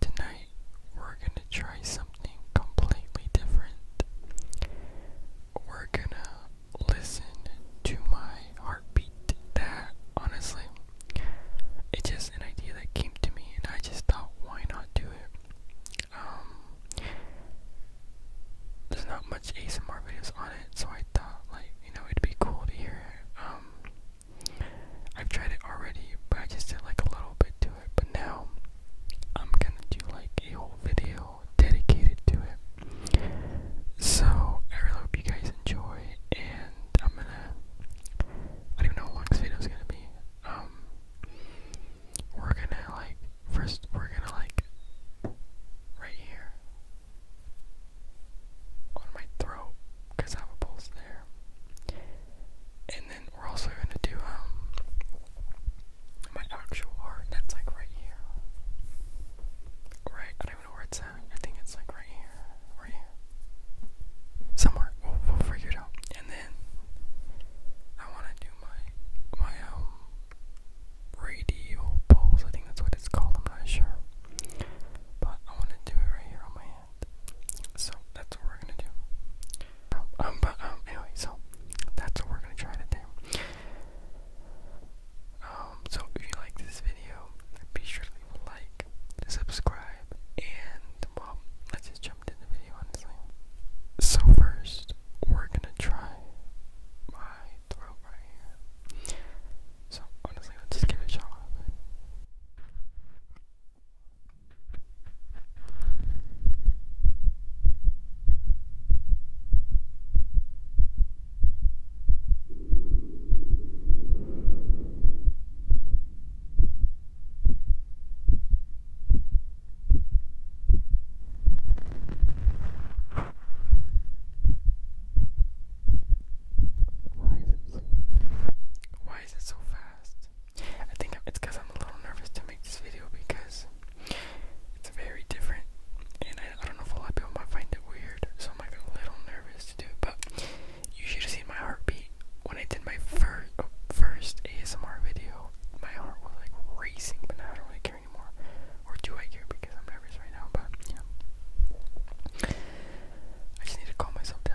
Tonight, we're gonna try something completely different. We're gonna listen to my heartbeat. That, honestly, it's just an idea that came to me, and I just thought, why not do it? Um, there's not much ASMR videos on it, so I thought, like, you know, it'd be cool to hear I've tried it already, but I just did like a little bit to it. But now I'm gonna do like a whole video dedicated to it. So I really hope you guys enjoy, and I'm gonna. I don't even know how long this video is gonna be. Um, we're gonna like first we're gonna like right here on my throat because I have a pulse there. And then we're also going to do um, my actual art. That's like right here. Right, I don't even know where it's at. I think it's like right here, right here. Somewhere. We'll, figure it out. And then I want to do my my um, radial pulse. I think that's what it's called. I'm not sure, but I want to do it right here on my hand so that's what we're gonna do. Um, but um, anyway, so that's what we're gonna try today. Um, so if you like this video, be sure to leave a like, subscribe, and well, let just jump into the video honestly. So first, we're gonna try my throat So honestly, let's just give it a shot. Why is it so fast? I think it's because I'm a little nervous to make this video because it's very different, and I, don't know if a lot of people might find it weird, so I'm like a little nervous to do it. But you should have seen my heartbeat when I did my oh, first first ASMR video. My heart was like racing, but now I don't really care anymore. Or do I care because I'm nervous right now? But yeah. I just need to calm myself down.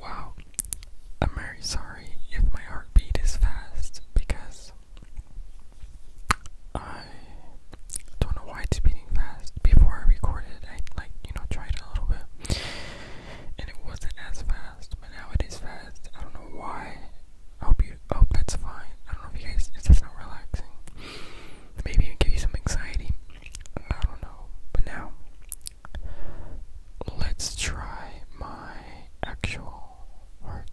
Wow, I'm very sorry if my heartbeat is fast because I don't know why it's beating fast. Before I recorded, I like you know tried a little bit, and it wasn't as fast, but now it is fast. I don't know why. I hope you hope that's fine. I don't know if you guys it's just not relaxing. Maybe even give you some anxiety. I don't know. But now let's try my actual heart,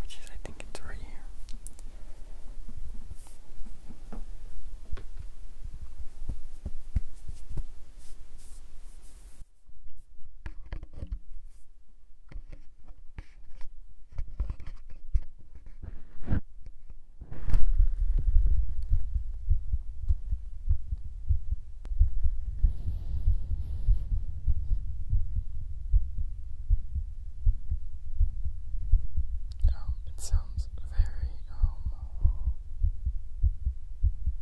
which is I think it's right here. Um, it sounds very, um,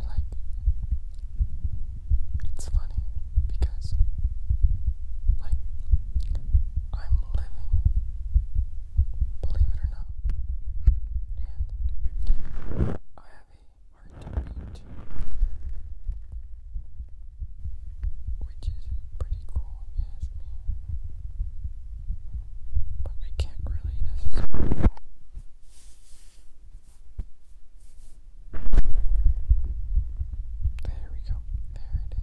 Like, it's funny because, like, I'm living, believe it or not, and I have a hard time to which is pretty cool if you ask me. But I can't really necessarily There we go. There it is.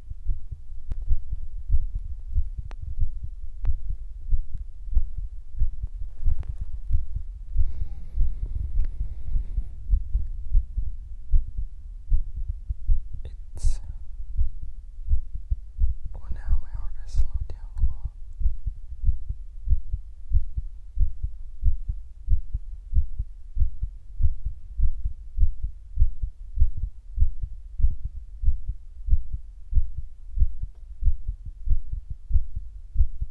It's well, now my heart has slowed down a lot.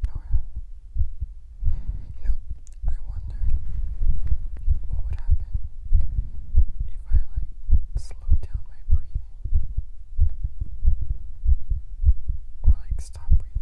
Nora, you know, I wonder what would happen if I like slowed down my breathing or like stop breathing.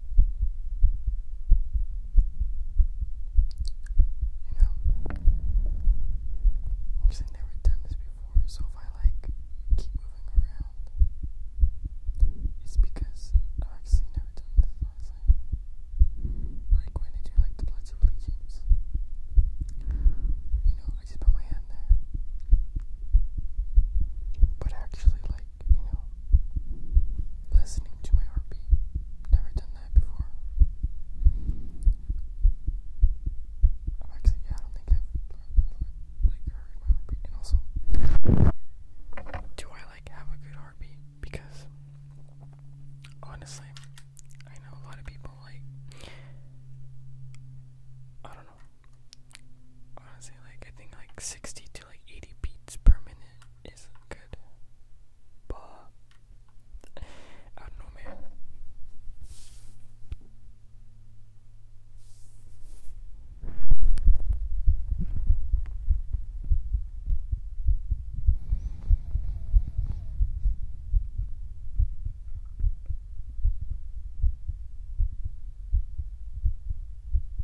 You know, because I've never done this before, so if I like keep moving around, it's because I've actually never done this last Like when I do like the Pledge of Allegiance, you know, I just put my hand there, but actually, like listening to my heartbeat. Never done that before. actually, yeah, I think i like heard my heartbeat. And also, do I like have a good heartbeat? Because honestly, I know a lot of people like. I don't know. Honestly, like I think like sixty to like eighty beats per minute is good. But I don't know, man.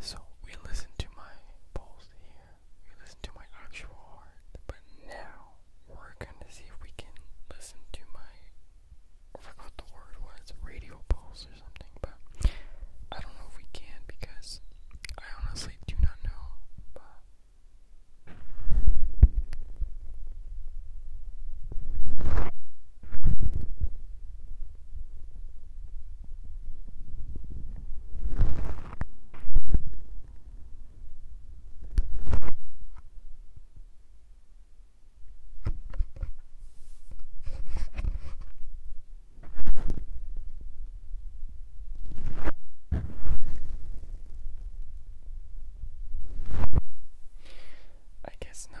So we listen to my pulse here, we listen to my actual heart, but now we're gonna see if we can listen to my forgot the word was radio pulse or something, but I don't know if we can because I honestly do not know. I guess not.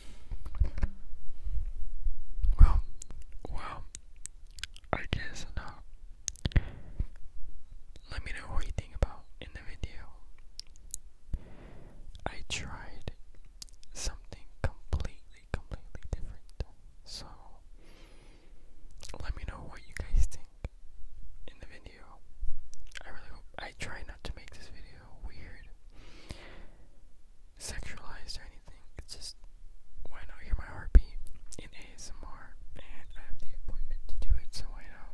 Well, well, I guess now. Let me know what you think about in the video. I tried something completely, completely different. So, let me know what you guys think in the video. I really I try not to make this video weird, sexualized or anything. just why not hear my heartbeat in ASMR? And I have the appointment to do it, so why not?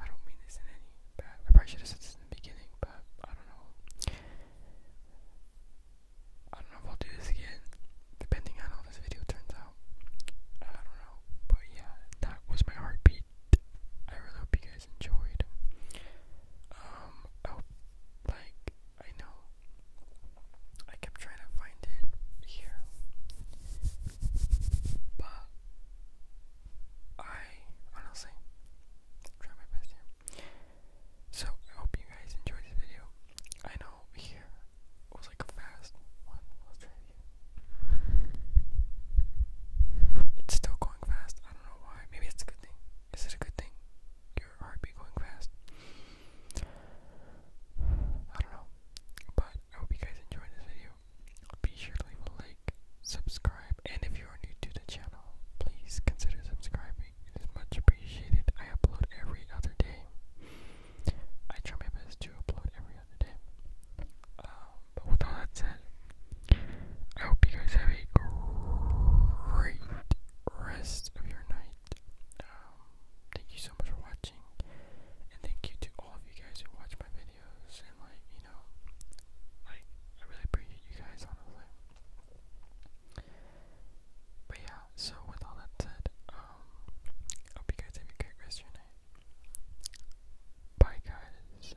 I don't mean this in any bad. I probably should have said this in the beginning, but I don't know. I don't know if I'll do this again, depending on how this video turns out. I don't know, but yeah, that was my heartbeat. I really hope you guys enjoyed. Um, I hope, like, I know I kept trying to find it here, but I honestly try my best here. So, I hope you guys enjoyed this video. I know here it was like fast one. let try again. It's still going fast. I don't know why. Maybe it's a good thing. Is it a good thing? Your heartbeat going fast. I don't know. But I hope you guys enjoyed this video. Be sure to leave a like, subscribe, and if you are new to the channel, please consider subscribing. It is much appreciated. I upload every other day. I try my best to upload every other day. Um, but with all that said, I hope you guys have a great rest of your night. Um, thank you so much for watching, and thank you to all of you guys who watch my videos and like, you know, like I really appreciate you guys, honestly. But yeah, so with all that said, um, hope you guys have a great rest of your night. Bye, guys.